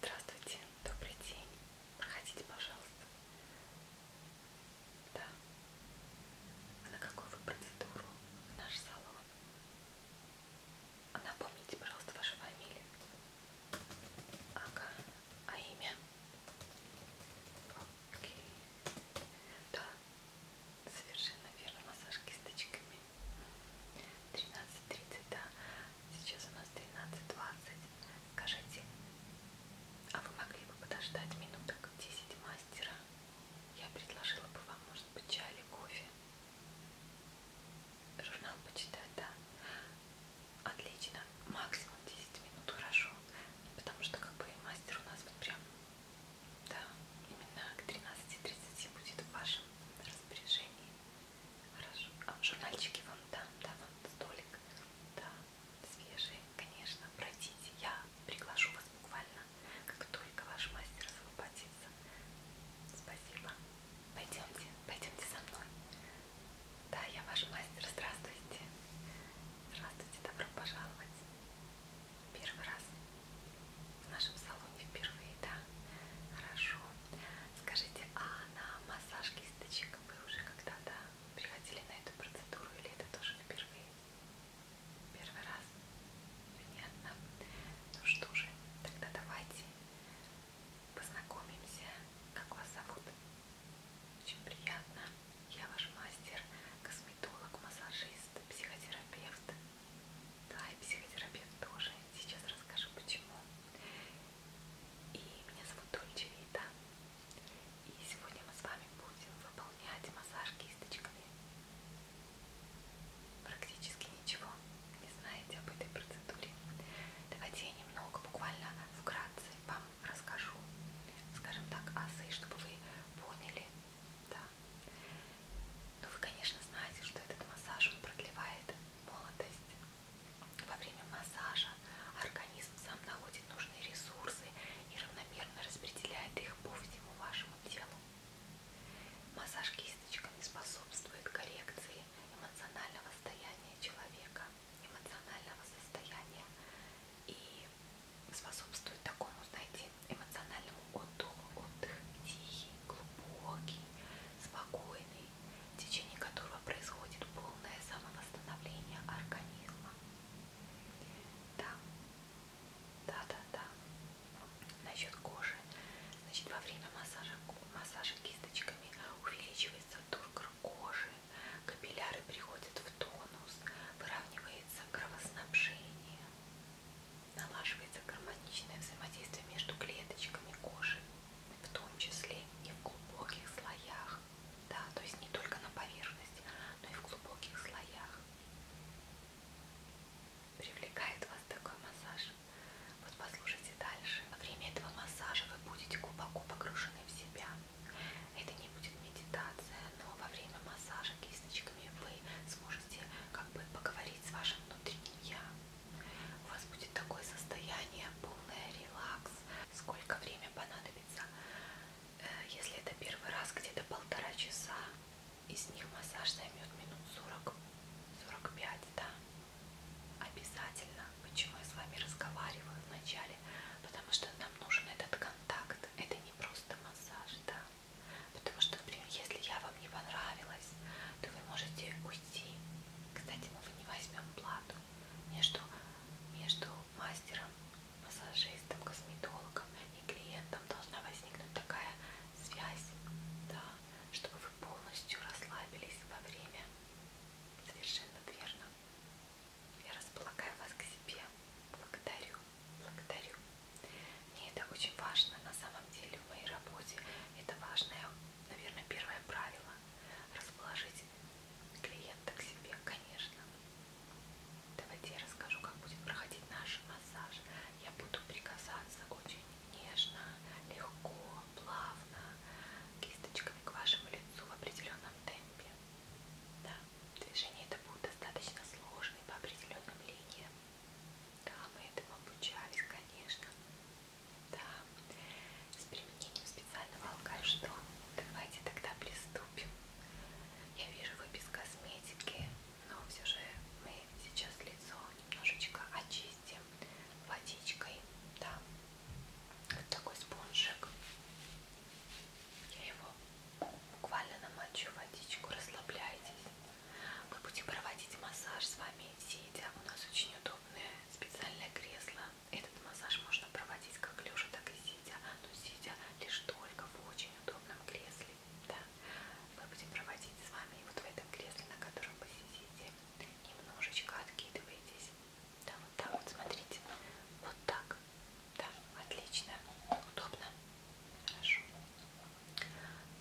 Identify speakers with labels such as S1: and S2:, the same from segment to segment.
S1: Здравствуйте, добрый день. Проходите, пожалуйста. Да. А на какую вы процедуру в наш салон? А напомните, пожалуйста, вашу фамилию. Ага. А имя? Окей. Да. Совершенно верно, массаж кисточками. 13.30, да. Сейчас у нас 13.20. Скажите, а вы могли бы подождать минуток 10 мастера? Я предложила бы вам, может быть, чай или кофе. Журнал почитать, да. Отлично. Максимум 10 минут, хорошо. Потому что как бы мастер у нас вот прям да, именно к 13.30 будет в вашем распоряжении. Хорошо. А журнальчики вам дам, да, вам столик. Да, свежие, конечно. Пройдите. Я приглашу вас буквально, как только ваш мастер освободится. Спасибо. Пойдемте, пойдемте со мной. Да, я ваш мастер. Здравствуйте. Здравствуйте, добро пожаловать. Первый раз в нашем салоне впервые, да? Хорошо. Скажите, а на массаж кисточек вы уже когда-то приходили на эту процедуру или это тоже впервые? Первый раз? Понятно. Ну что же, тогда давайте познакомимся. Как вас зовут? Очень приятно. Я ваш мастер, косметолог, массажист специалист, психотерапевт. Да, и психотерапевт тоже. Сейчас расскажу почему. И меня зовут Дольче Вита. И сегодня мы с вами будем выполнять массаж кисточками. Практически ничего не знаете об этой процедуре. Давайте я немного, буквально вкратце вам расскажу, скажем так, азы, чтобы вы поняли, да. Ну вы, конечно, знаете, что этот массаж он продлевает молодость. Во время массажа организм сам находит нужные ресурсы и равномерно распределяет их по всему вашему телу. Массаж кисточками способствует коррекции эмоционального состояния человека, эмоционального состояния и способствует такому, знаете, эмоциональному отдыху. Отдых тихий, глубокий, спокойный, в течение которого происходит полное самовосстановление организма. Да, да, да, да. Насчет кожи. Значит, во время массажа, массажа кисточками увеличивается тургор кожи, капилляры приходят в тонус, выравнивая улучшается кровоснабжение, налаживается гармоничное взаимодействие между клеточками кожи, в том числе и в глубоких слоях, да, то есть не только на поверхности, но и в глубоких слоях. Привлекает вас такой массаж. Вот послушайте дальше. Во время этого массажа вы будете глубоко погружены в себя. Это не будет медитация, но во время массажа кисточками вы сможете как бы поговорить с вашим внутренним я. У вас будет такое состояние, полное релакс. Сколько время понадобится? Э, если это первый раз, где-то полтора часа. Из них массаж займет минут 40, 45, да. Обязательно, почему я с вами разговариваю вначале, потому что нам нужен этот контакт. Это не просто массаж, да. Потому что, например, если я вам не понравилась, то вы можете уйти. Кстати, мы не возьмем плату между, между мастером, массажистом, косметологом и клиентом должна возникнуть такая связь, да, чтобы вы полностью расслабились во время. Совершенно верно. Я располагаю вас к себе. Благодарю, благодарю. Мне это очень важно на самом деле в моей работе. Это важное, наверное, первое правило. Расположить клиента к себе, конечно. Давайте я расскажу, как будет проходить наш массаж. Я буду прикасаться очень нежно, легко, плавно, кисточками к вашему лицу в определенном темпе. Да. Движение это будет достаточно сложным по определенным линиям. Да, мы этому обучались, конечно. Да. С применением специального алкашта. Давайте тогда приступим. Я вижу, вы без косметики, но все же мы сейчас лицо немножечко очистим водичкой. Да. Вот такой спонжик. Я его буквально намочу водичку, расслабляйтесь. Мы будем проводить массаж с вами сидя. У нас очень удобное специальное кресло. Этот массаж можно проводить как лежа, так и сидя. Но сидя лишь только в очень удобном кресле. Да. Мы будем проводить с вами вот в этом кресле, на котором вы сидите. Немножечко откидываетесь. Да, вот так вот, смотрите. Вот так. Да, отлично. Удобно. Хорошо.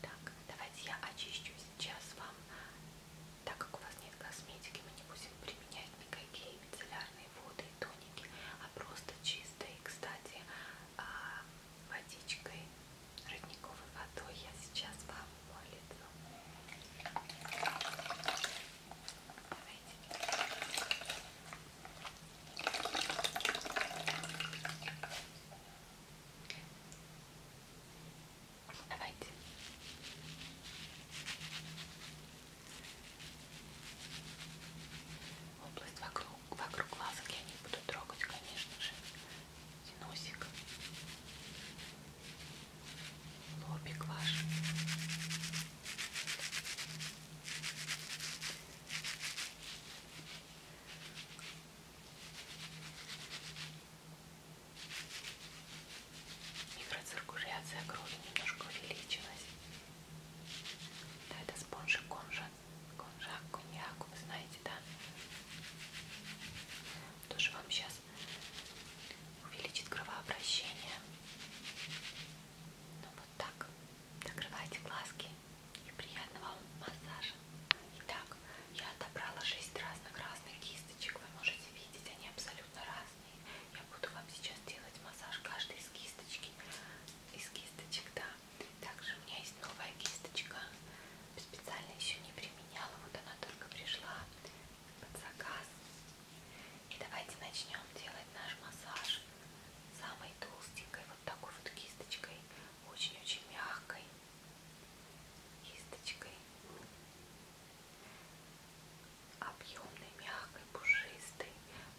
S1: Так, давайте я очищу сейчас вам. Так как у вас нет косметики, мы не будем применять никакие мицеллярные воды и тоники, а просто чистой, кстати, а, водичкой, родниковой водой я сейчас вам мою лицо. Давайте. Давайте. Область вокруг, вокруг глазок я не буду трогать, конечно же. Носик. Лобик ваш. Микроциркуляция крови немножко увеличилась. Да, это спонжи конжа, конжак, коньяк, вы знаете, да? Тоже вам сейчас увеличит кровообращение. Ну вот так. Закрывайте глазки и приятного вам массажа. Итак, я отобрала 6 разных разных кисточек. Вы можете видеть, они абсолютно разные. Я буду вам сейчас делать массаж каждой из кисточки. Из кисточек, да. Также у меня есть новая кисточка. Специально еще не применяла. Вот она только пришла под заказ. И давайте начнем делать наш массаж самой толстенькой вот такой вот кисточкой, очень-очень мягкой кисточкой, объемной, мягкой, пушистой,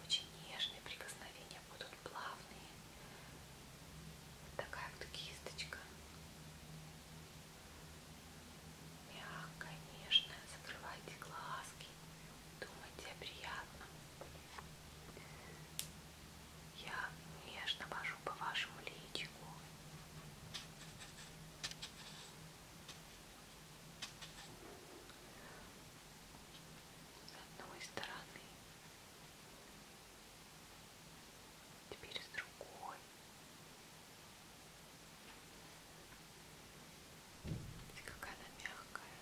S1: очень нежные прикосновения будут плавные. Вот такая вот кисточка. Мягкая, нежная, закрывайте глазки думайте о приятном. Я нежно вожу по вашему личику. С одной стороны, теперь с другой. Какая она мягкая.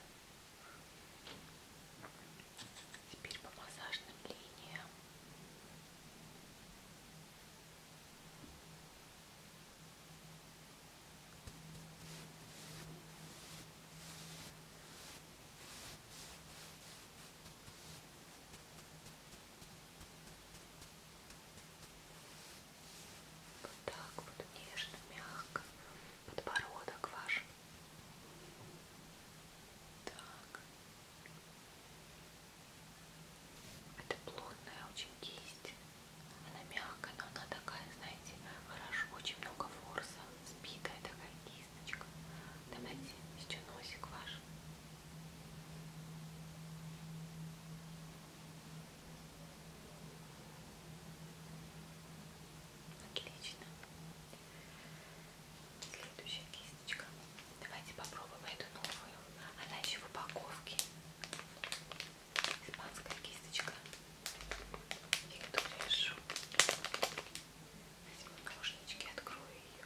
S1: Теперь по массажным линиям. Вот так вот нежно, мягко подбородок ваш. Так. Это плотная очень кисть. Она мягкая, но она такая, знаете, хорошо, очень много форса, сбитая такая кисточка. Давайте еще носик ваш. Отлично. Следующая кисточка. Давайте попробуем эту новую. Она еще в упаковке. Испанская кисточка. Виктория Шу. Возьму наушнички, открою ее.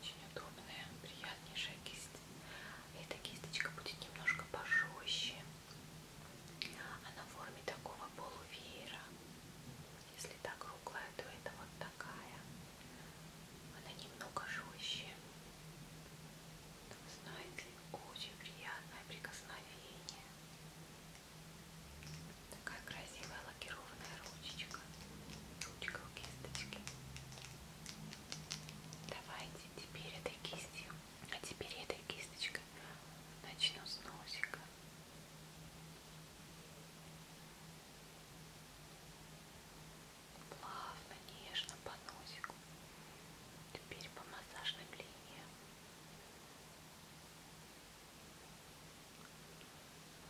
S1: Очень удобная, приятнейшая кисть. Эта кисточка будет немножко пожестче. Она в форме такого полувеера. Если так круглая, то это вот такая. Она немного жестче. Знаете, очень приятное прикосновение. Такая красивая лакированная ручечка. Ручка у кисточки. Давайте теперь этой кистью, а теперь этой кисточкой начну с носика. Плавно, нежно по носику. Теперь по массажным линиям.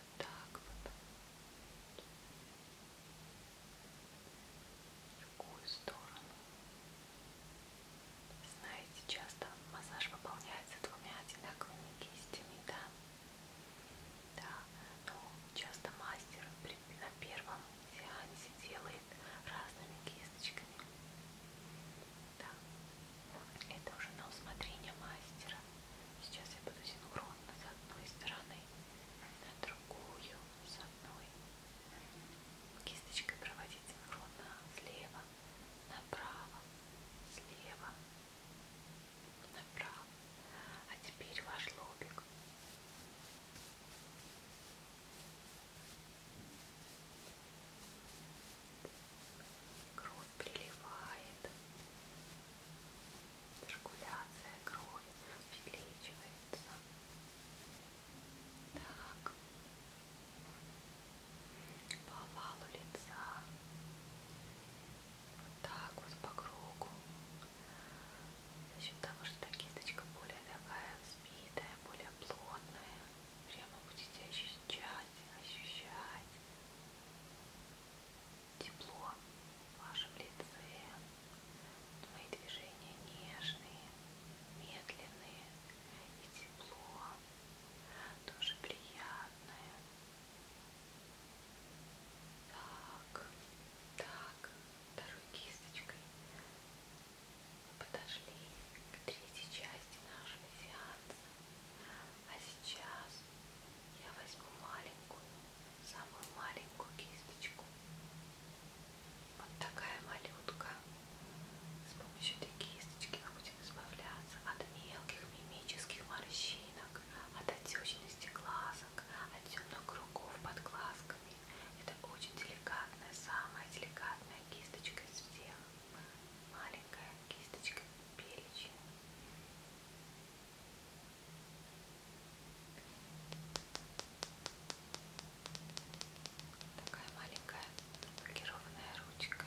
S1: Вот так вот другую сторону. Знаете, часто массаж выполняется двумя одинаковыми кистями, да? Да, но часто мастер на первом сеансе делает разными кисточками. Да, это уже на усмотрение мастера. Сейчас я буду синхронно с одной стороны на другую с одной кисточкой проводите ровно слева направо слева направо а теперь ваш лобик кровь приливает циркуляция крови увеличивается. Так, по овалу лица, вот так вот по кругу. За счет того, что эта кисточка более такая сбитая, более плотная, прямо будете ощущать, ощущать тепло в вашем лице, твои движения нежные, медленные и тепло, тоже приятное. Так, так, второй кисточкой мы подошли к третьей части нашего сеанса. А сейчас я возьму маленькую, самую маленькую кисточку. Вот такая малютка. С помощью этой кисточки мы будем избавляться от мелких мимических морщинок, от отечности глазок, от темных кругов под глазками. Это очень деликатная, самая деликатная кисточка из всех. Маленькая кисточка перечень. Такая маленькая лакированная ручка.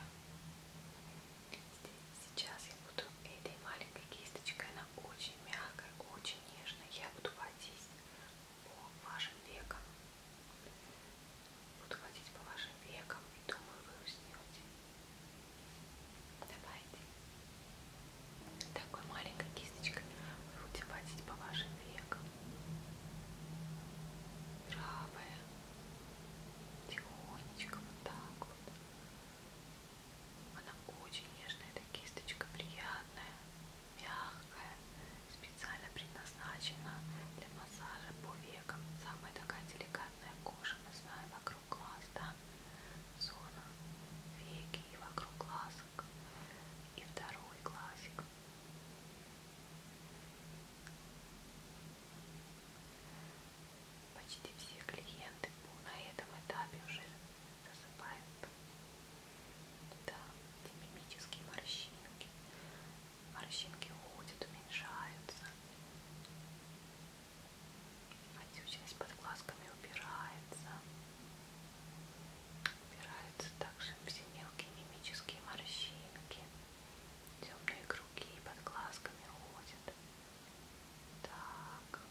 S1: Сейчас я буду этой маленькой кисточкой, она очень мягкая, очень нежная. Я буду водить по вашим векам. Буду водить по вашим векам и думаю, вы уснете. Давайте. Такой маленькой кисточкой вы будете водить по вашим векам. Правая. Тихонечко вот так вот. Она очень нежная, эта кисточка, приятная, мягкая, специально предназначена для массажа по векам. Самая такая деликатная кожа, мы знаем, о вокруг глаз, да, зона веки и вокруг глазок, и второй глазик. Почти все клиенты на этом этапе уже засыпают. Да, эти мимические морщинки. Морщинки уходят, уменьшаются отечность под глазками убирается. Убираются также все мелкие мимические морщинки. Темные круги под глазками уходят. Так.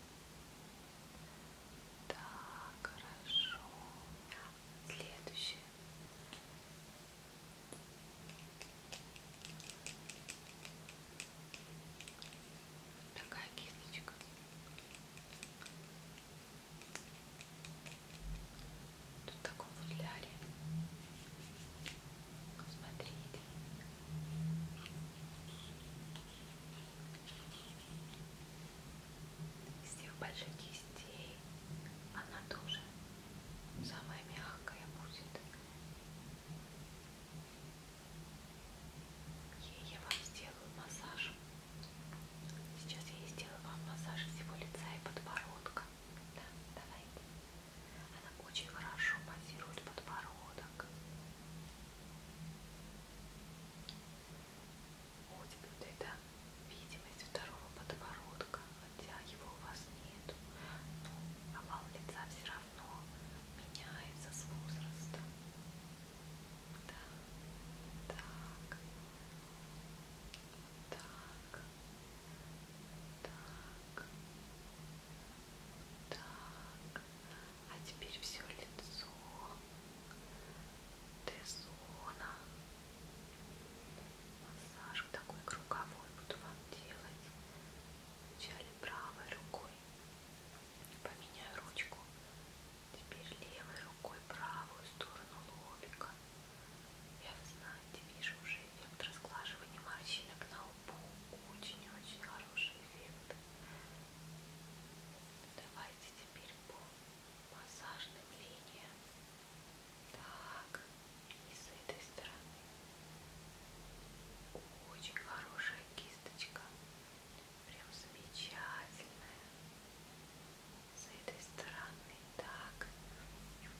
S1: Так, хорошо. Следующее. Такая кисточка. Тут такой футляре. Смотрите. Из тех больших кистей она тоже самая мягкая будет. И я вам сделаю массаж. Сейчас я сделаю вам массаж всего лица и подбородка. Да, давайте. Она очень хорошо массирует подбородок. Вот вот это видимость второго подбородка, хотя его у вас нет. Но овал лица все равно оно меняется с возрастом. Да, так, так, так, так. А теперь все лицо. Т-зона. Массаж такой круговой буду вам делать. Вначале правой рукой, Поменяю ручку. Теперь левой рукой правую сторону лобика. Я, вы знаете, вижу уже эффект разглаживания морщинок на лбу. Очень-очень хороший эффект. Давайте теперь по массажным линиям. Так, и с этой стороны. Очень хорошая кисточка прям замечательная. С этой стороны так.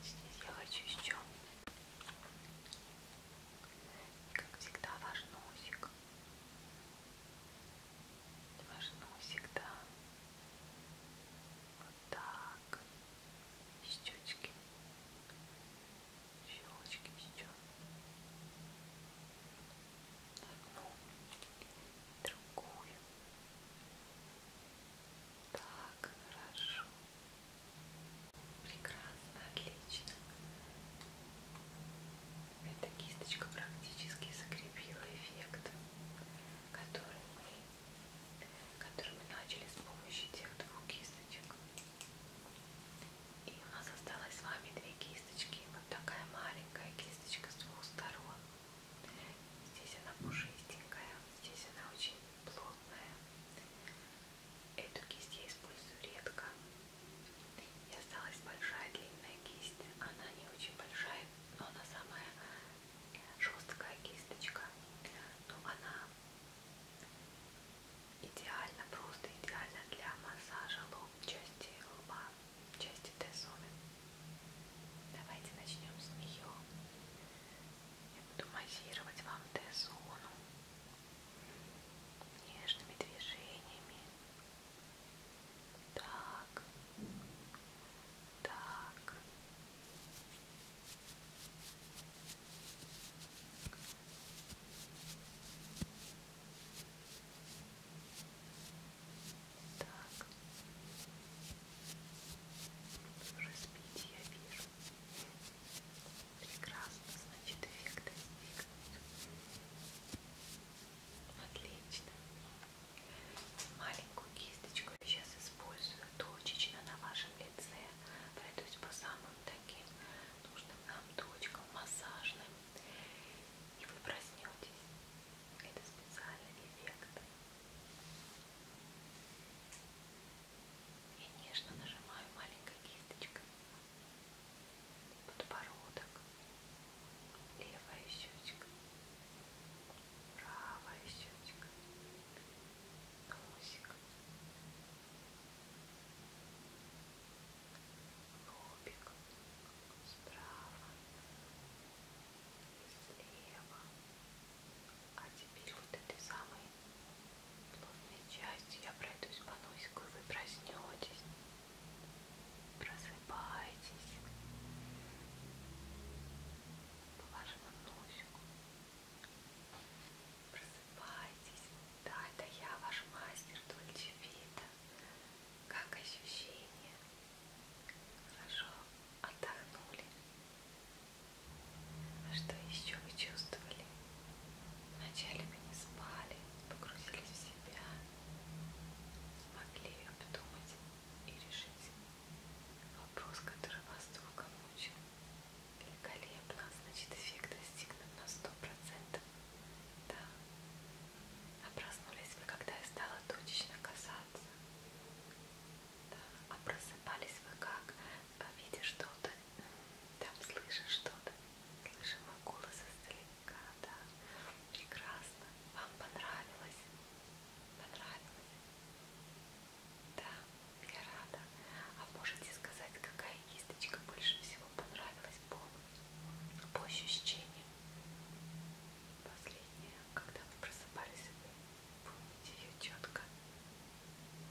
S1: Здесь я хочу еще. Как всегда ваш носик. Ваш носик, да. Вот так. Щечки щелочки еще одну другую так хорошо прекрасно отлично эта кисточка практически закрепила эффект который мы который мы начали с помощью тех двух кисточек и у нас осталось с вами две кисточки. Вот такая маленькая кисточка с двух сторон. Здесь она пушистенькая, здесь она очень плотная. Эту кисть я использую редко. И осталась большая длинная кисть. Она не очень большая, но она самая жесткая кисточка. Но она идеально, просто идеально для массажа лоб, части лба, части Т-зоны. Давайте начнем с нее. Я буду массировать вам Т-зону нежными движениями. Так, так. Так. Вы уже спите, я вижу. Прекрасно, значит, эффект достигнут. Отлично. Маленькую кисточку я сейчас использую точечно на вашем лице. Пройдусь по самым таким нужным нам точкам массажным. И вы проснетесь. Это специальный эффект. Я нежно нажимаю маленькой кисточкой подбородок, левая щечка, правая щечка, носик, лобик справа и слева. А теперь вот этой самой плотной частью я пройдусь по носику, и вы проснетесь, просыпаетесь по вашему носику. Просыпаетесь. Просыпайтесь. Да, это я, ваш мастер Дольче Вита. Как ощущения? Хорошо, отдохнули. А что еще вы чувствовали? Вначале вы не спали, погрузились в себя, могли обдумать и решить вопрос, который вас долго мучил. Великолепно, значит эффект достигнут на сто процентов. Да. А проснулись вы, когда я стала точечно касаться. Да. А просыпались вы как? А видя что-то, там слышишь что-то. Слышим мой голос издалека, да. Прекрасно. Вам понравилось? Понравилось? Да, я рада. А можете сказать, какая какая кисточка больше всего понравилась по, по ощущениям? Последняя, когда вы просыпались, вы помните ее четко,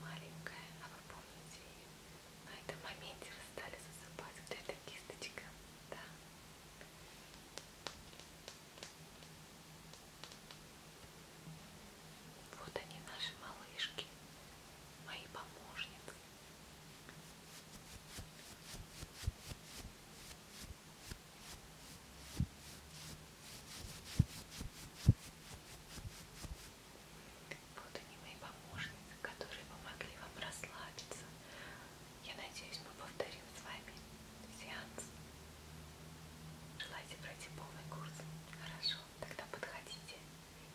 S1: маленькая, а вы помните ее. На этом моменте вы стали засыпать вот эта кисточка, да. Вот они, наши малышки, мои помощницы. Вот они мои помощники, которые помогли вам расслабиться. Я надеюсь, мы повторим с вами сеанс. Желаете пройти полный курс? Хорошо тогда подходите.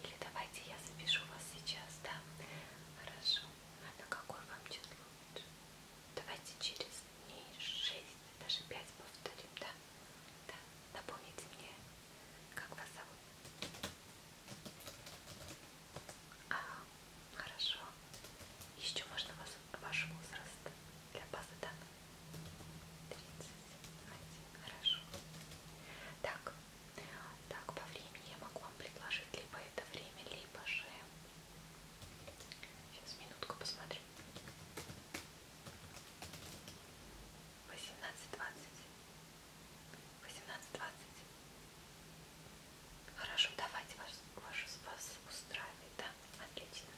S1: Или давайте я запишу вас сейчас, да? Хорошо. А на какое вам число лучше? Давайте через дней 6, даже 5 повторим, да? Да. Напомните мне, как вас зовут? Ага, хорошо. Еще можно вас, ваш возраст для базы данных? 31, хорошо. Так, так, по времени я могу вам предложить либо это время, либо же... Сейчас, минутку посмотрю. 18.20. 18.20. Хорошо, давайте вас, вашу вас устраивает, да? Отлично.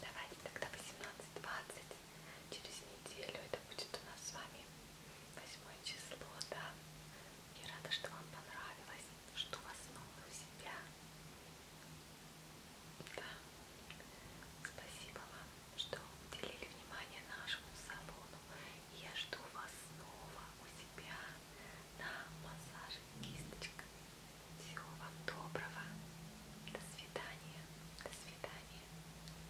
S1: Давайте тогда 18.20 через неделю. Это будет у нас с вами 8 число, да. Я рада, что вам понравилось, что вас снова в себя. Да. Спасибо вам, что уделили внимание нашему салону. Я жду вас снова у себя на массаже кисточками. Всего вам доброго. До свидания. До свидания.